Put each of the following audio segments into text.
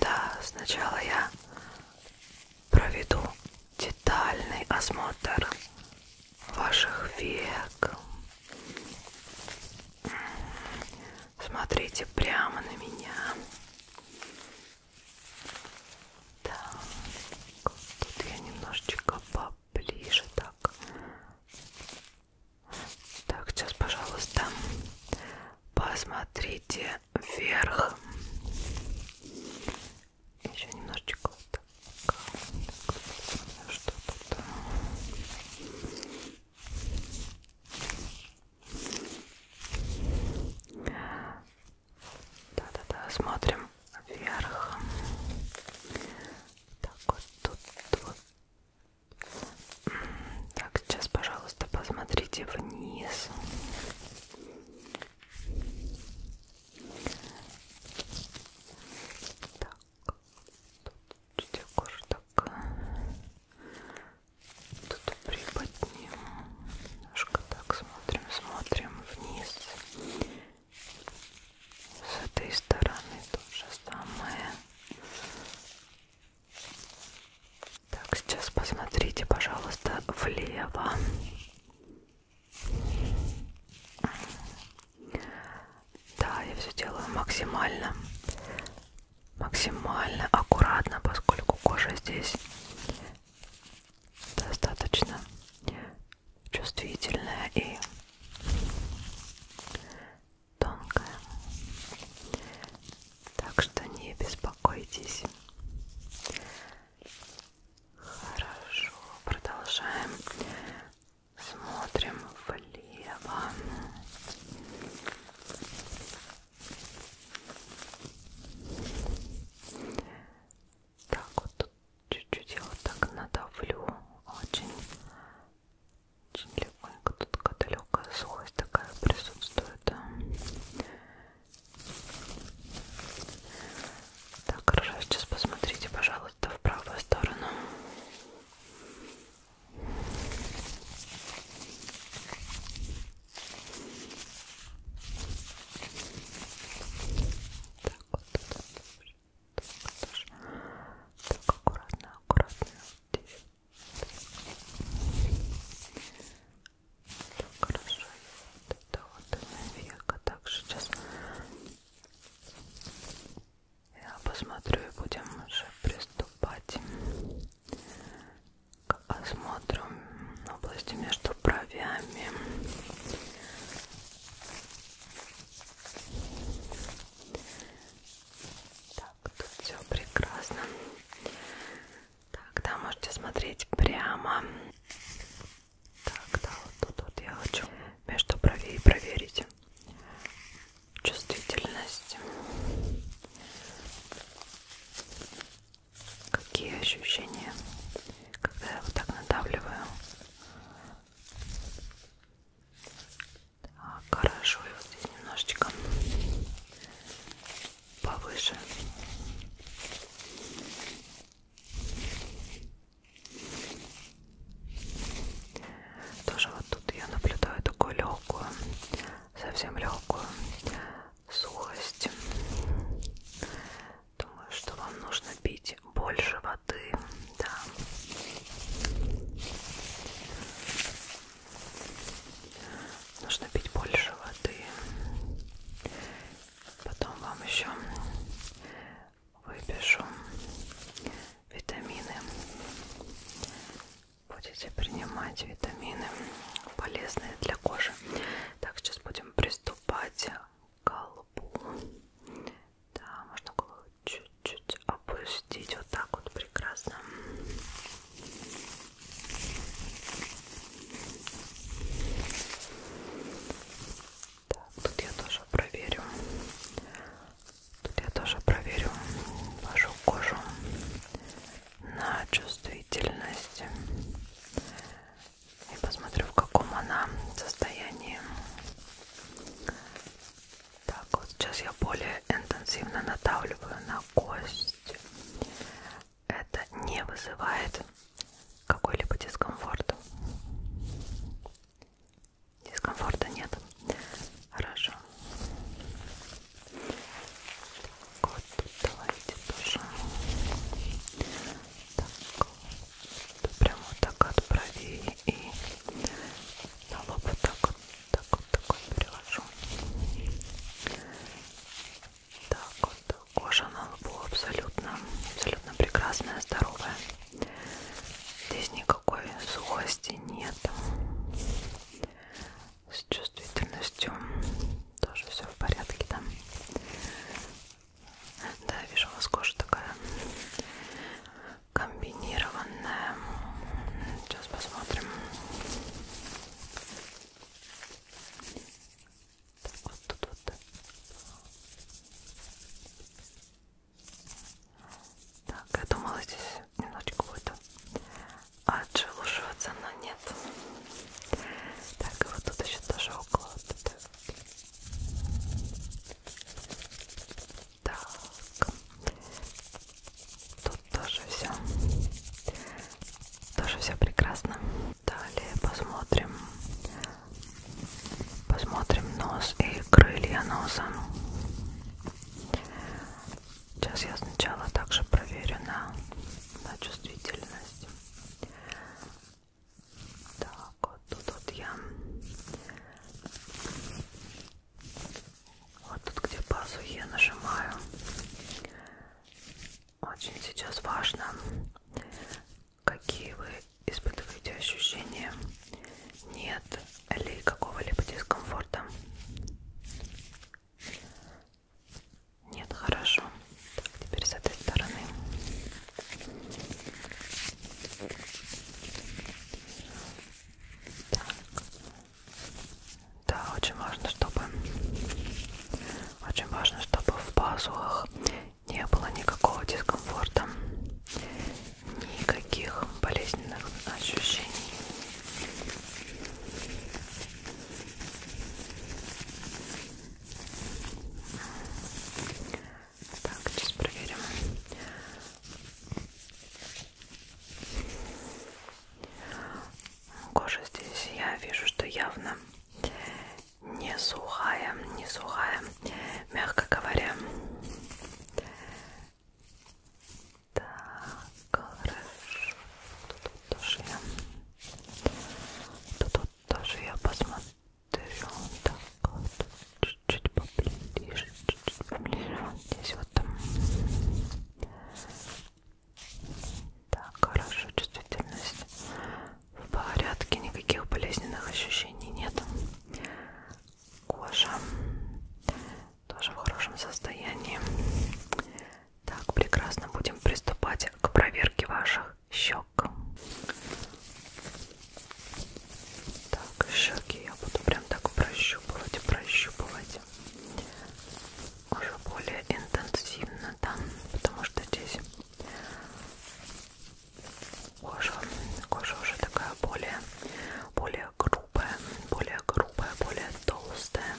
Да, сначала я проведу детальный осмотр ваших век. Смотрите прямо на меня. Так, тут я немножечко поближе так. Так, сейчас, пожалуйста, посмотрите вверх. Еще немножечко вот так. Что тут? Да-да-да, смотрим вверх. Так вот тут вот так, сейчас, пожалуйста, посмотрите вниз. Так, тут кожа такая. Тут приподнимем. Немножко так смотрим, смотрим вниз. С этой стороны то же самое. Так, сейчас посмотрите, пожалуйста, влево. Да, я все делаю максимально, максимально аккуратно, поскольку кожа здесь достаточно чувствительная и тонкая. Так что не беспокойтесь. Хорошо, продолжаем. Смотрим влево. Так вот тут чуть-чуть я вот так надавлю очень очень легонько тут такая далекая сухость такая присутствует. Так, хорошо, сейчас посмотрите, пожалуйста, в правую сторону. Так, вот, так, вот, так, вот, так, аккуратно, аккуратно. Вот здесь так, хорошо. Вот это вот нафиг. Так, сейчас я посмотрю и будем уже приступать к осмотру области между бровями. Так, так, тут все прекрасно. Так, да, можете смотреть прямо. Так, да, вот тут вот я хочу между бровей проверить чувствительность. Какие ощущения, когда я вот так надавливаю? Так, хорошо, и вот здесь немножечко повыше. Тоже вот тут я наблюдаю такую легкую, совсем легкую сухость. Думаю, что вам нужно пить больше воды. Да. Нужно пить больше воды. Потом вам еще выпишу витамины. Будете принимать витамины, полезные для кожи. Так, сейчас будем приступать к колбу. Да, можно голову чуть-чуть опустить. Вот так вот прекрасно. Так, тут я тоже проверю. Тут я тоже проверю вашу кожу на чувствительность. И посмотрю, в каком она состоянии. Так, вот сейчас я более интенсивно надавливаю на кость. Это не вызывает какой-либо дискомфорт. Дискомфорта нет. Хорошо. Так, вот тут давайте тоже. Так, прямо вот так от бровей и на лоб вот так вот так вот такой перевожу так вот кожа на лбу абсолютно абсолютно прекрасная здоровая здесь никакой сухости нет с чувствительностью тоже все в порядке там да? да вижу у вас кожа такая комбинированная. Сейчас посмотрим. Так, вот тут вот. Так, я думала, здесь немножечко будет отшелушиваться, но нет. Так, и вот тут еще тоже около. Вот так. Тут тоже все. Тоже все прекрасно. Далее посмотрим. Посмотрим нос и крылья носа. Сейчас я сначала также проверю на, на чувствительность. Так, вот тут вот я вот тут, где пазухи, я нажимаю. Очень сейчас важно, какие вы испытываете ощущения. Нет ли какого-либо дискомфорта? Нет, хорошо. Так, теперь с этой стороны. Так. Да, очень важно, чтобы очень важно, чтобы в пазухах не было никакого дискомфорта, никаких болезненных ощущений. Так, сейчас проверим. Кожа здесь я вижу, что явно не сухая, не сухая, мягко говоря. Так, хорошо. Тут тоже я, тут тоже я посмотрю. Так, вот, чуть-чуть поближе, чуть-чуть поближе, вот здесь вот. Так, хорошо, чувствительность в порядке, никаких болезненных ощущений нет. Кожа тоже в хорошем состоянии. Так, прекрасно, будем приступать к проверке ваших щек. Так, щеки я буду прям так прощупывать прощупывать, прощупывать уже более интенсивно, да, потому что здесь кожа, кожа уже такая более, более грубая, более грубая, более толстая,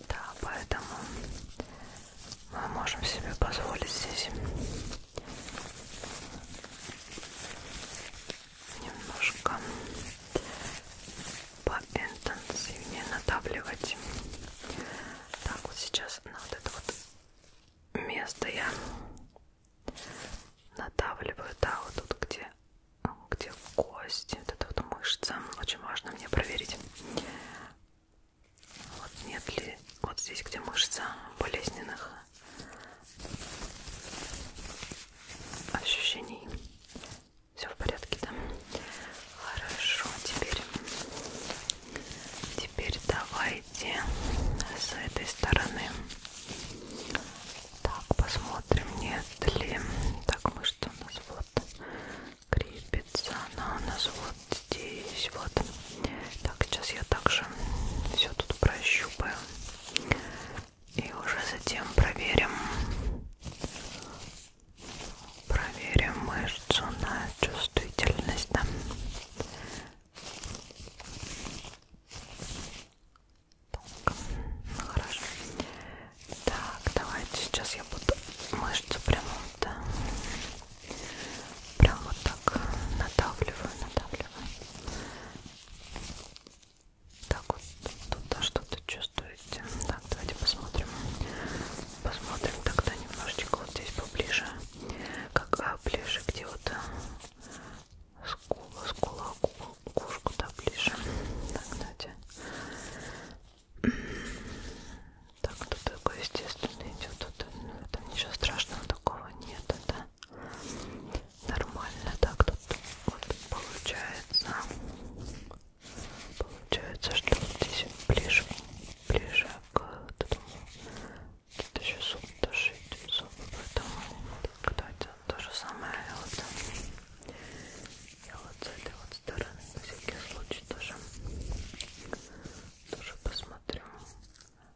да, поэтому мы можем себе позволить здесь немножко поинтенсивнее надавливать. Так, вот сейчас на вот это вот место я надавливаю, да, вот тут, где, где кость, вот эта вот мышца. Очень важно мне проверить, вот нет ли вот здесь, где мышца болезненных ощущений. Все в порядке, да? Хорошо, теперь, теперь давайте с этой стороны. Так, посмотрим, нет ли. Так, мы что у нас вот крепится, она у нас вот здесь, вот. Так, сейчас я также все тут прощупаю и уже затем проверим проверим мышцу на чувствительность да? Тонко. Ну, хорошо. Так, давайте сейчас я буду мышцу прямо вот, да, прямо вот так надавливаю, надавливаю. Так вот, тут да, что-то чувствуете. Так, давайте посмотрим. Посмотрим тогда немножечко вот здесь поближе. Как а, ближе, где вот э, скула, скула, кушку, да, ближе. Так, давайте. Так, тут такой естественный идет. Тут, ну, там ничего страшного такого нет, да? нормально так тут вот получается получается что вот здесь ближе ближе к этому тут еще зуб дошить зуб поэтому кто это то же самое я вот я вот с этой вот стороны на всякий случай тоже тоже посмотрю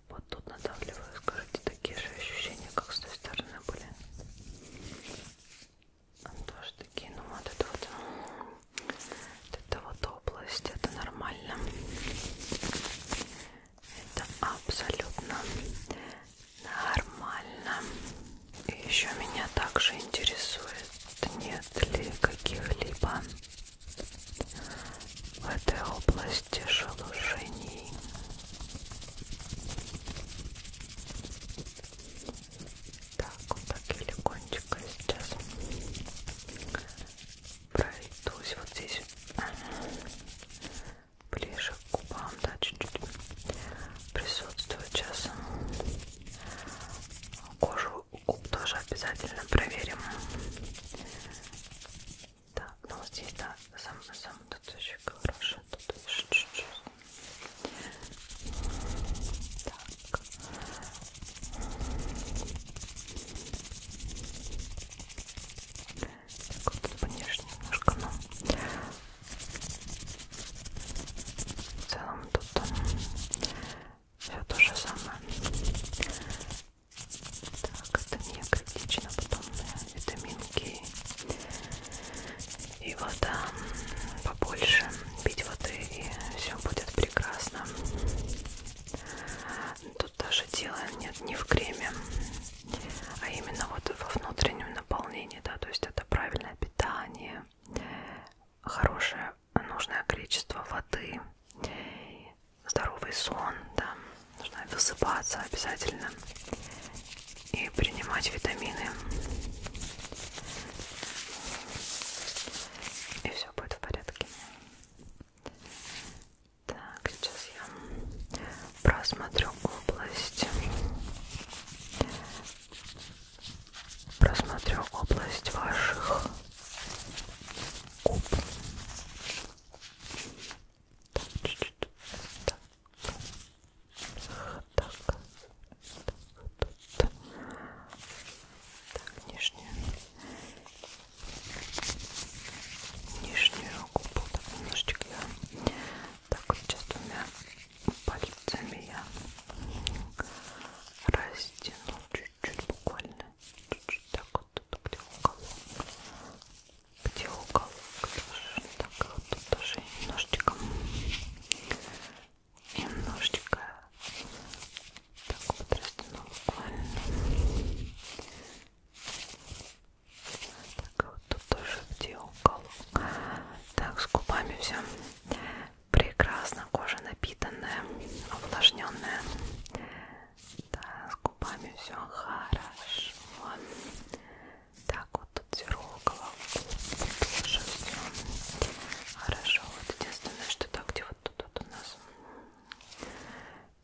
вот тут надавливаю скажите такие же ощущения, как с той стороны были. Тоже такие, ну вот это вот, вот это вот область, это нормально. Это абсолютно нормально. И еще меня также интересует, нет ли каких-либо в этой области шелушений так, вот так и легонечко сейчас пройдусь вот здесь ближе к губам, да, чуть-чуть присутствует сейчас. Кожу губ тоже обязательно проверим. Так, ну здесь, да, сам, сам тут очень хороший дышит, дышит, дышит. Так. Так вот, конечно, немножко, но в целом тут все то же самое. Так, это не критично, потом я витаминки и вода побольше пить воды и все будет прекрасно тут даже дело нет не в креме а именно вот во внутреннем наполнении да то есть это правильное питание хорошее нужное количество воды здоровый сон да нужно высыпаться обязательно и принимать витамины. И все будет в порядке. Так, сейчас я просмотрю область. Просмотрю область ваших губ так, так, так, нижнюю, нижнюю губу, так, немножечко я, так, вот сейчас двумя пальцами я растяну чуть-чуть, буквально, чуть-чуть, так вот, тут где уголок, где уголок тоже. так вот тут тоже немножечко немножечко так вот растяну буквально так вот тут тоже где уголок так с губами все прекрасно кожа напитанная увлажненная да, с губами все хорошо так, вот тут сверху головку тоже все хорошо. Вот единственное, что так, где вот тут вот у нас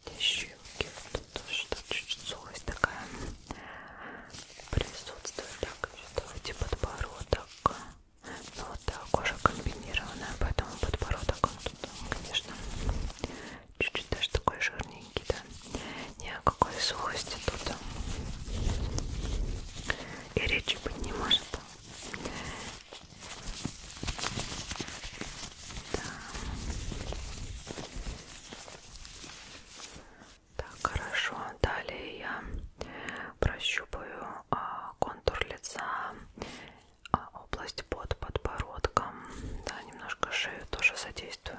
где щелки, вот тут тоже чуть-чуть сухость такая присутствует. Так, давайте подбородок. Ну вот да, кожа комбинированная, поэтому подбородок он тут, конечно, чуть-чуть даже такой жирный тоненький, да. Ни о какой сухости тут и речи быть не может. Да. Так, хорошо. Далее я прощупаю а, контур лица, а, область под подбородком. Да, немножко шею тоже задействую.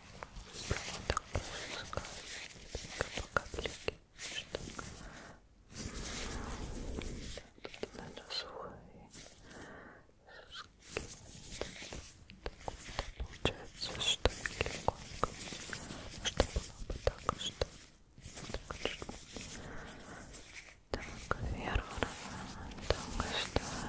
прямо так пускаю по капельке что тут надо свой получается что легко что было бы так что так так вверх так что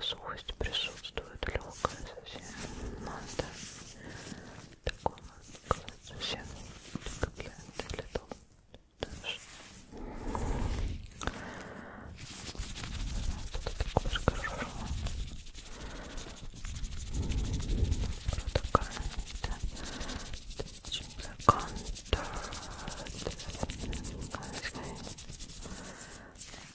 сухость присутствует, легкая совсем. Надо ну, такого сказать совсем, как я это летал. Что-то такое такая контакт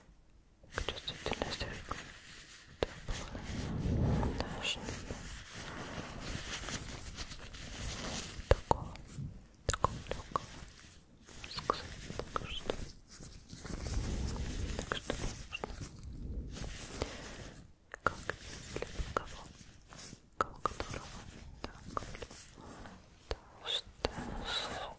чувствительность рекламы даже такого такого легкого секса так что так что можно как для кого кого которого так да, что